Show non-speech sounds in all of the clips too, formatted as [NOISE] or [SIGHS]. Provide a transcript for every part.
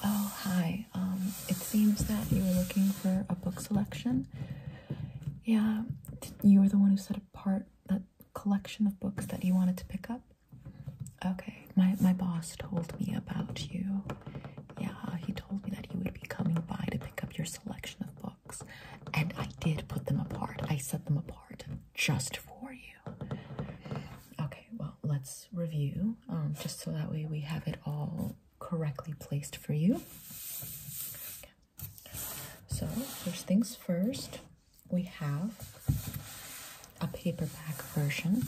Oh, hi. Um, it seems that you were looking for a book selection. Yeah, you were the one who set apart that collection of books that you wanted to pick up. Okay, my, my boss told me about you. Yeah, he told me that he would be coming by to pick up your selection of books and I did put them apart. I set them apart just for you. Okay, well, let's review um, just so that way we have it all correctly placed for you. So, first things first, we have a paperback version.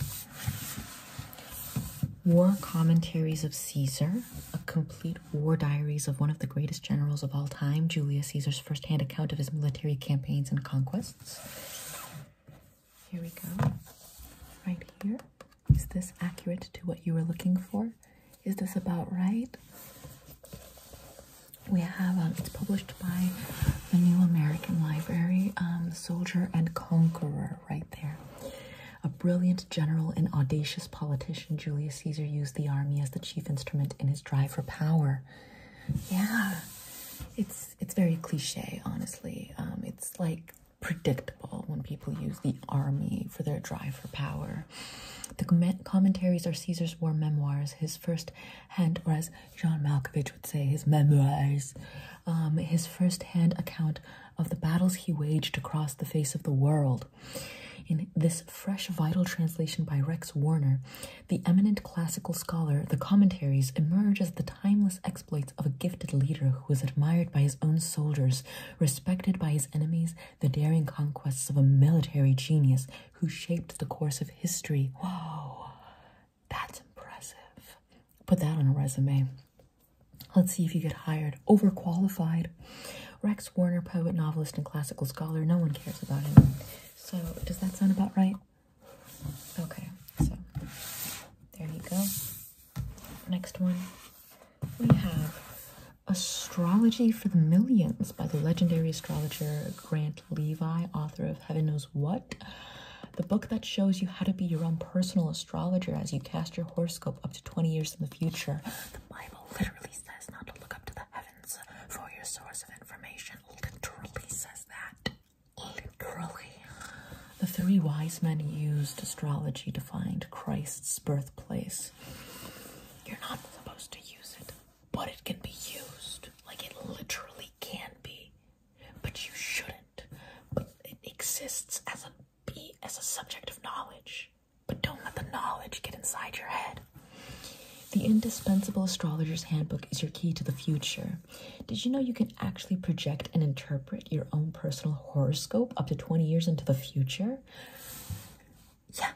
War Commentaries of Caesar, a complete war diaries of one of the greatest generals of all time, Julius Caesar's firsthand account of his military campaigns and conquests. Here we go. Right here. Is this accurate to what you were looking for? Is this about right? We have, um, it's published by the New American Library, um, Soldier and Conqueror, right there. A brilliant general and audacious politician, Julius Caesar used the army as the chief instrument in his drive for power. Yeah, it's it's very cliche, honestly. Um, it's like predictable when people use the army for their drive for power. The com commentaries are Caesar's war memoirs, his first hand, or as John Malkovich would say, his memoirs, um, his first hand account of the battles he waged across the face of the world. In this fresh, vital translation by Rex Warner, the eminent classical scholar, the commentaries emerge as the timeless exploits of a gifted leader who was admired by his own soldiers, respected by his enemies, the daring conquests of a military genius who shaped the course of history. Whoa, that's impressive. Put that on a resume. Let's see if you get hired overqualified. Rex Warner, poet, novelist, and classical scholar. No one cares about him. So, does that sound about right? Okay, so there you go. Next one, we have Astrology for the Millions by the legendary astrologer Grant Levi, author of Heaven Knows What. The book that shows you how to be your own personal astrologer as you cast your horoscope up to 20 years in the future. The Bible literally says not to look up to the heavens for your source of information. Literally says that. Literally. The three wise men used astrology to find Christ's birthplace. You're not supposed to use it, but it can be used. Like it literally can be. But you shouldn't. But it exists as a be as a subject of knowledge but don't let the knowledge get inside your head. The Indispensable Astrologer's Handbook is your key to the future. Did you know you can actually project and interpret your own personal horoscope up to 20 years into the future? Yeah.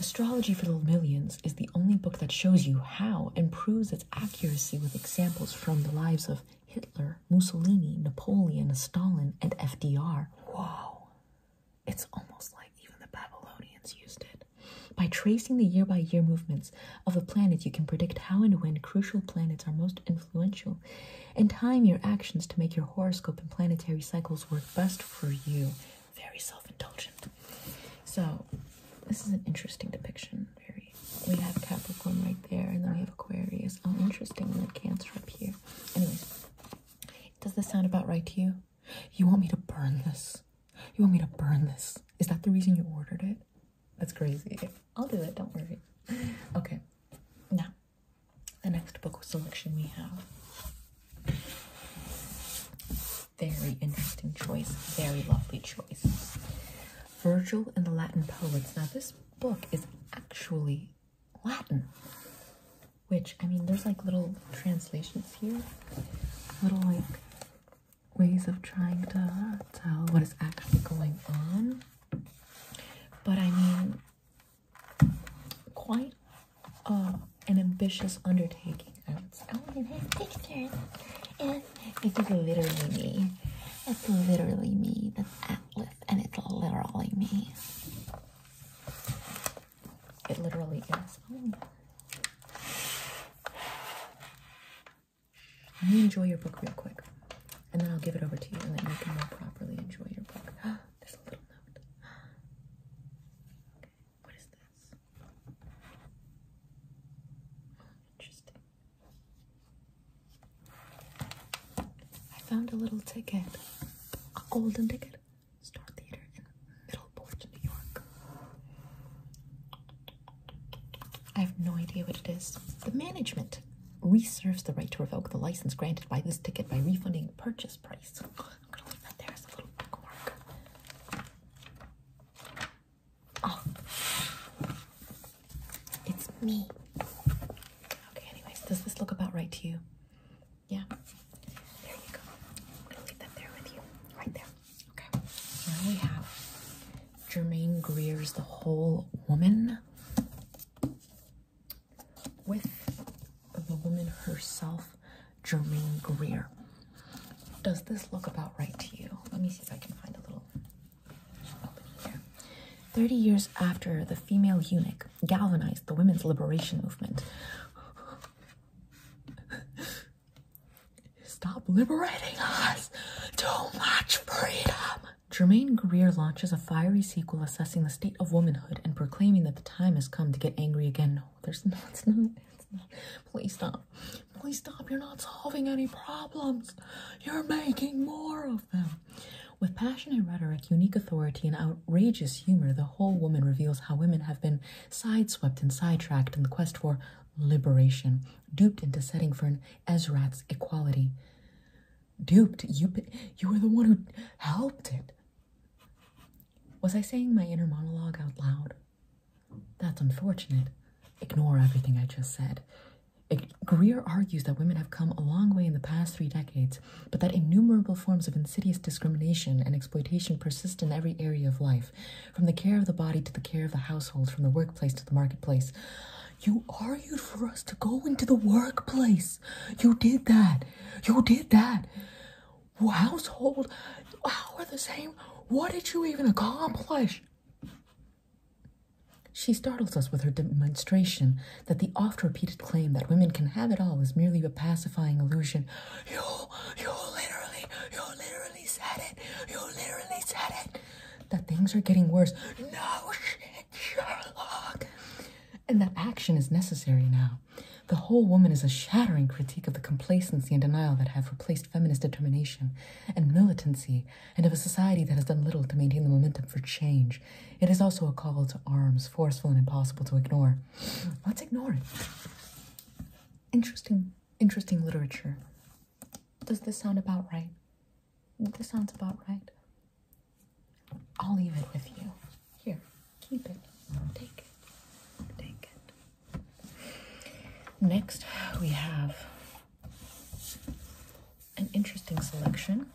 Astrology for the Millions is the only book that shows you how and proves its accuracy with examples from the lives of Hitler, Mussolini, Napoleon, Stalin, and FDR. Wow. It's almost like even the Babylonians used it. By tracing the year by year movements of the planets, you can predict how and when crucial planets are most influential and time your actions to make your horoscope and planetary cycles work best for you. Very self indulgent. So, this is an interesting depiction. Very. We have Capricorn right there, and then we have Aquarius. Oh, interesting. And then Cancer up here. Anyways, does this sound about right to you? You want me to burn this? You want me to burn this? Is that the reason you ordered it? That's crazy. I'll do it, don't worry. Okay, now, the next book selection we have. Very interesting choice, very lovely choice. Virgil and the Latin Poets. Now, this book is actually Latin. Which, I mean, there's like little translations here, little like ways of trying to tell what is actually going on. But I mean, quite uh, an ambitious undertaking, I would say. Oh, and there's pictures. And this is literally me. It's literally me. That's Atlas, and it's literally me. It literally is. Oh. Let me enjoy your book real quick, and then I'll give it over to you, and then you can properly enjoy your book. [GASPS] There's a little note. Okay, [GASPS] what is this? Interesting. I found a little ticket, a golden ticket. Star Theater in Middleport, New York. I have no idea what it is. The management reserves the right to revoke the license granted by this ticket by refunding purchase price. i a little bookmark. Oh. it's me. Okay, anyways, does this look about right to you? Yeah. There you go. I'm leave that there with you. Right there. Okay. Now we have Germaine Greer's The Whole Woman with the woman herself, Germaine Greer. Does this look about right to you? Let me see if I can find a little opening here. 30 years after the female eunuch, like galvanized the women's liberation movement. Stop liberating us! Too much freedom! Germaine Greer launches a fiery sequel assessing the state of womanhood and proclaiming that the time has come to get angry again. No, there's no, not. Please stop. Please stop. You're not solving any problems. You're making more of them. With passionate rhetoric, unique authority, and outrageous humor, the whole woman reveals how women have been sideswept and sidetracked in the quest for liberation, duped into setting for an Ezra's equality. Duped? You, you were the one who helped it. Was I saying my inner monologue out loud? That's unfortunate. Ignore everything I just said. Greer argues that women have come a long way in the past three decades, but that innumerable forms of insidious discrimination and exploitation persist in every area of life, from the care of the body to the care of the household, from the workplace to the marketplace. You argued for us to go into the workplace. You did that. You did that. Household, how are the same? What did you even accomplish? She startles us with her demonstration that the oft repeated claim that women can have it all is merely a pacifying illusion. You, you literally, you literally said it. You literally said it. That things are getting worse. No shit, Sherlock. And that action is necessary now. The whole woman is a shattering critique of the complacency and denial that have replaced feminist determination and militancy, and of a society that has done little to maintain the momentum for change. It is also a call to arms, forceful and impossible to ignore. Let's ignore it. Interesting, interesting literature. Does this sound about right? This sounds about right. I'll leave it with you. Here, keep it. Take it. Take it. Next, we have an interesting selection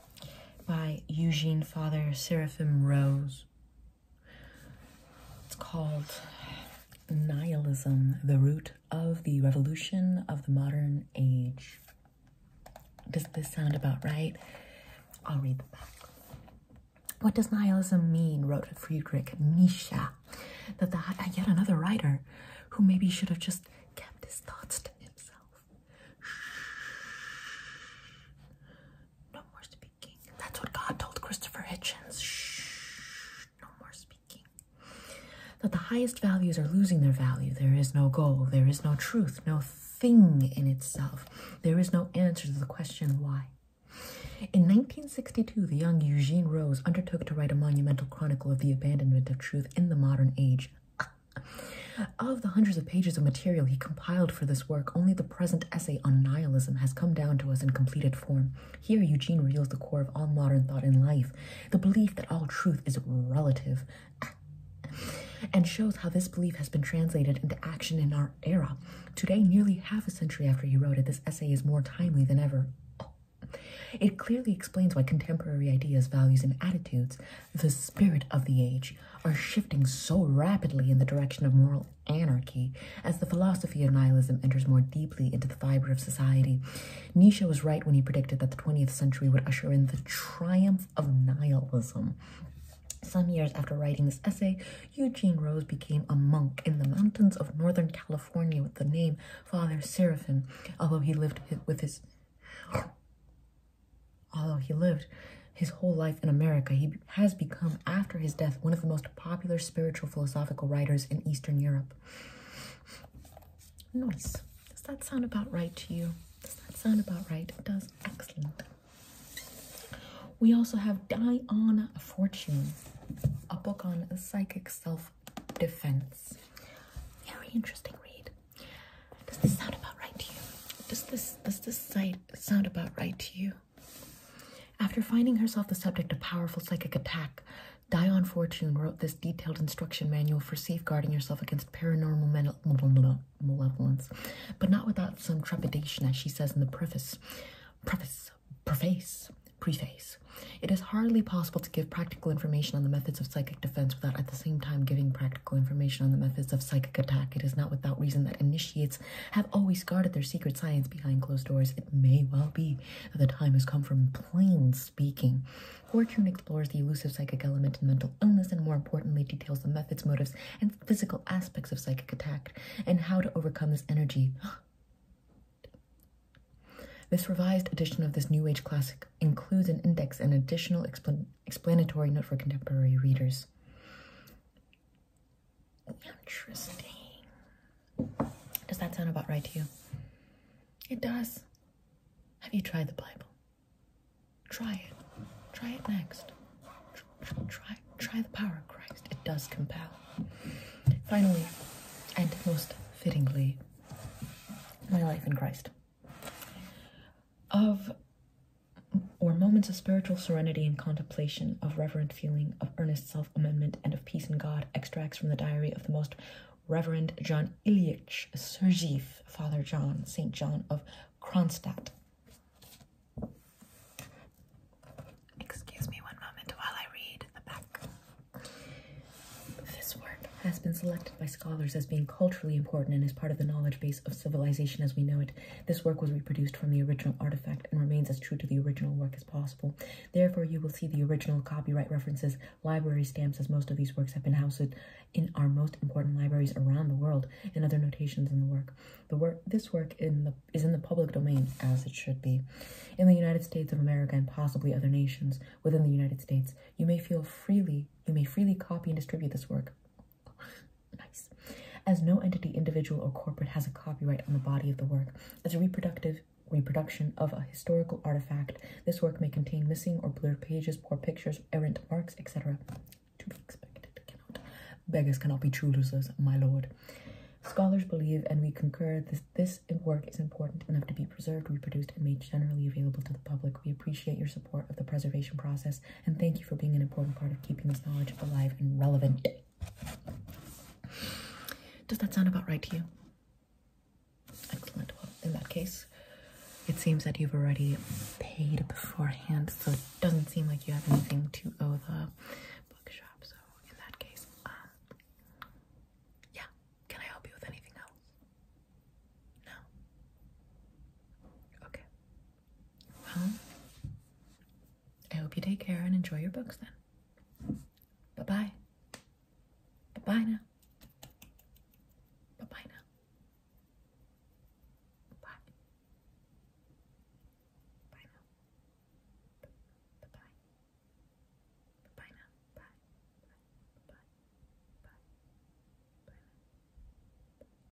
by Eugene Father Seraphim Rose. It's called Nihilism, the Root of the Revolution of the Modern Age. Does this sound about right? I'll read the back. What does nihilism mean? wrote Friedrich Nietzsche. That the, yet another writer who maybe should have just kept his thoughts to himself. No more speaking. That's what God told Christopher Hitchens. Shh, no more speaking. That the highest values are losing their value. There is no goal. There is no truth. No thing in itself. There is no answer to the question why. In 1962, the young Eugene Rose undertook to write a monumental chronicle of the abandonment of truth in the modern age. Of the hundreds of pages of material he compiled for this work, only the present essay on nihilism has come down to us in completed form. Here, Eugene reveals the core of all modern thought in life the belief that all truth is relative. and shows how this belief has been translated into action in our era. Today, nearly half a century after he wrote it, this essay is more timely than ever. It clearly explains why contemporary ideas, values, and attitudes, the spirit of the age, are shifting so rapidly in the direction of moral anarchy as the philosophy of nihilism enters more deeply into the fiber of society. Nietzsche was right when he predicted that the 20th century would usher in the triumph of nihilism. Some years after writing this essay, Eugene Rose became a monk in the mountains of Northern California with the name Father Seraphim, although he lived with his Although he lived his whole life in America, he has become, after his death, one of the most popular spiritual philosophical writers in Eastern Europe. Nice. Does that sound about right to you? Does that sound about right? It does. Excellent. We also have Diana Fortune, a book on psychic self-defense. Very interesting read. Does this sound about right to you? Does this does this site sound about right to you. After finding herself the subject of powerful psychic attack, Dion Fortune wrote this detailed instruction manual for safeguarding yourself against paranormal malevolence, but not without some trepidation, as she says in the preface. Preface, preface, preface. It is hardly possible to give practical information on the methods of psychic defense without at the same time giving practical information on the methods of psychic attack. It is not without reason that initiates have always guarded their secret science behind closed doors. It may well be that the time has come for plain speaking. Fortune explores the elusive psychic element in mental illness and, more importantly, details the methods, motives, and physical aspects of psychic attack and how to overcome this energy. [GASPS] This revised edition of this New Age classic includes an index and additional explanatory note for contemporary readers. Interesting. Does that sound about right to you? It does. Have you tried the Bible? Try it. Try it next. Try, try, the power of Christ. It does compel. Finally, and most fittingly, my life in Christ of or moments of spiritual serenity and contemplation, of reverent feeling, of earnest self amendment, and of peace in God, extracts from the diary of the most Reverend John Ilyich Sergeev, Father John, St. John of Kronstadt. Excuse me one moment while I read the back. This work has been selected by scholars as being culturally important and is part of the knowledge base of civilization as we know it. This work was reproduced from the original artifact and remains as true to the original work as possible. Therefore, you will see the original copyright references, library stamps, as most of these works have been housed in our most important libraries around the world, and other notations in the work. The work, this work, is in the public domain as it should be. In the United States of America and possibly other nations within the United States, you may feel freely. You may freely copy and distribute this work. [SIGHS] As no entity, individual, or corporate has a copyright on the body of the work, as a reproductive reproduction of a historical artifact, this work may contain missing or blurred pages, poor pictures, errant marks, etc. To be expected, Beggars cannot be choosers, my lord. Scholars believe, and we concur, that this work is important enough to be preserved, reproduced, and made generally available to the public. We appreciate your support of the preservation process and thank you for being an important part of keeping this knowledge alive and relevant. Does that sound about right to you? Excellent. Well, in that case, it seems that you've already paid beforehand, so it doesn't seem like you have anything to owe the bookshop. So, in that case, um, yeah. Can I help you with anything else? No? Okay. Well, I hope you take care and enjoy your books then. Bye bye. Bye bye now. Bye bye now. Bye. Bye now. Bye bye. Bye now. Bye. Bye. Bye. Bye. Bye. Bye.